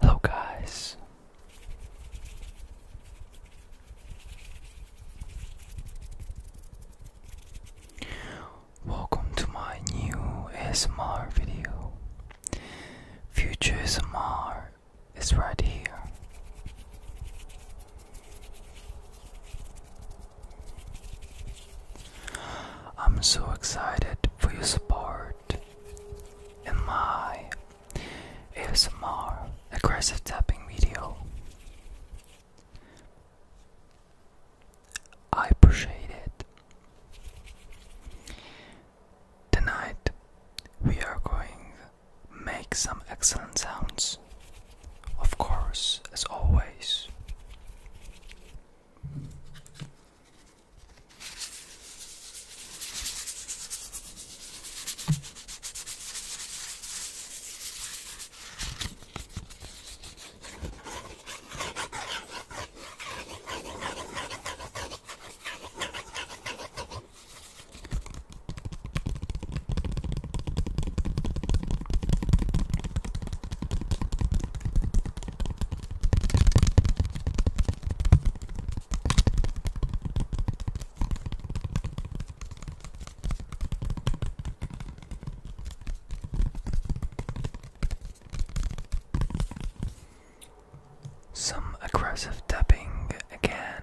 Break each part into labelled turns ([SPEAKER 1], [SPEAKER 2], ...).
[SPEAKER 1] Hello, guys. Welcome to my new ASMR video. Future ASMR is right here. I'm so excited for your support in my ASMR aggressive tapping video. I appreciate it. Tonight we are going make some excellent sounds of course, as always. Some aggressive tapping again.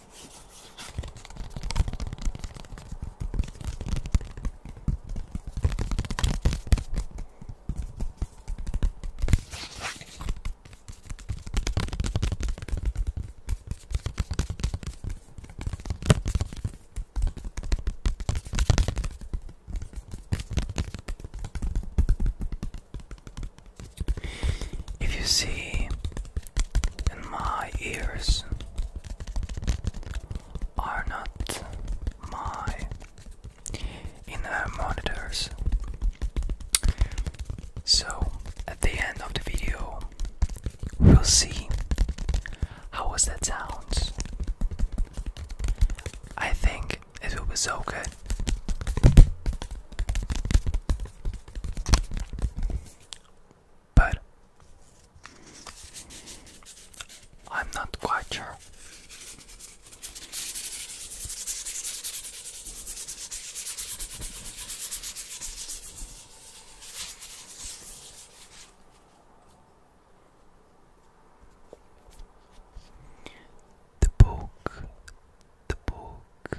[SPEAKER 1] If you see and my ears are not my inner monitors. So at the end of the video we'll see how was that sounds. I think it will be so good but I'm not quite sure. The book, the book,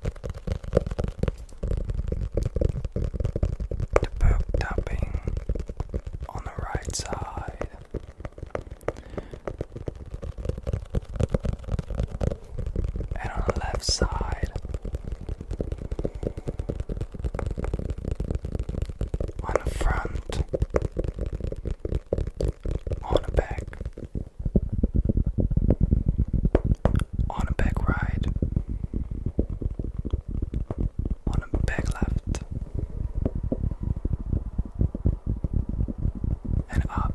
[SPEAKER 1] The book tapping on the right side. And on the left side, on the front, on the back, on a back ride, on a back left, and up.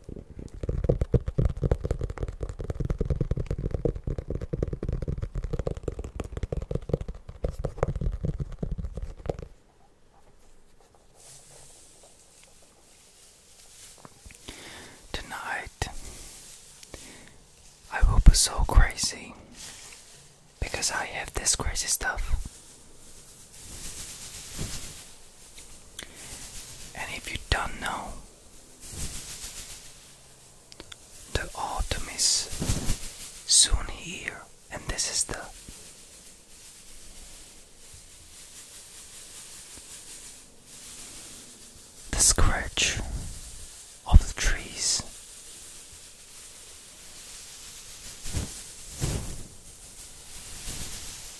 [SPEAKER 1] Tonight, I will be so crazy because I have this crazy stuff. And if you don't know, the autumn is soon here, and this is the the scratch of the trees.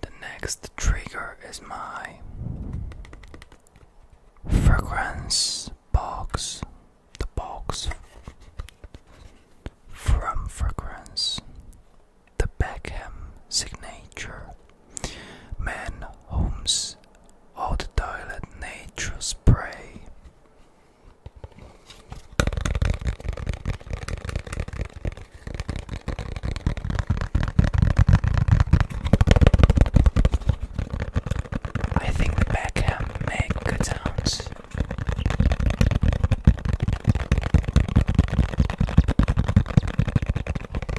[SPEAKER 1] The next trigger is my fragrance box, the box from fragrance the Beckham signature. Man homes all the toilet nature spray. I think the Beckham make good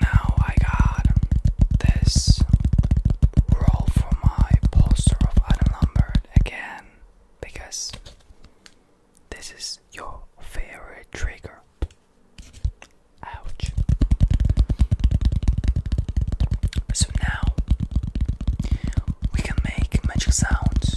[SPEAKER 1] now I got this roll for my poster of Unnumbered again because this is your favorite trigger. Ouch. So now we can make magic sounds.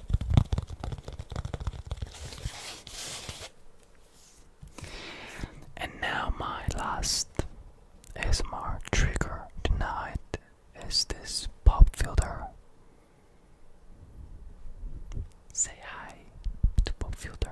[SPEAKER 1] And now my last ASMR trigger tonight is this pop filter. Say hi to pop filter.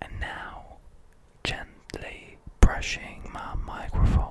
[SPEAKER 1] And now, gently brushing my microphone.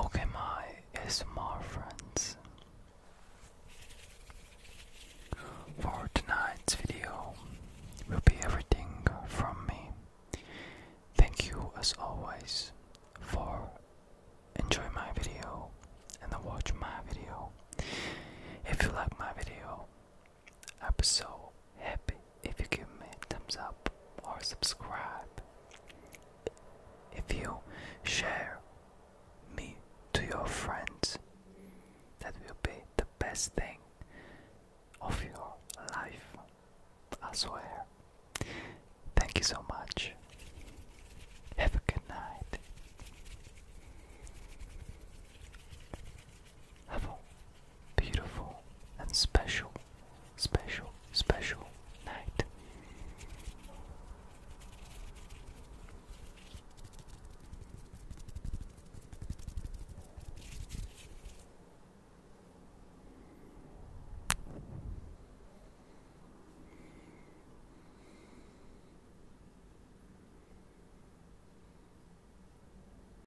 [SPEAKER 1] Okay, my ASMR friends. For tonight's video will be everything from me. Thank you as always for enjoy my video and watch my video. If you like my video, I'll be so happy if you give me a thumbs up or subscribe. If you share me to your friends, that will be the best thing of your life, I swear. Thank you so much. Have a good night. Have a beautiful and special, special, special night.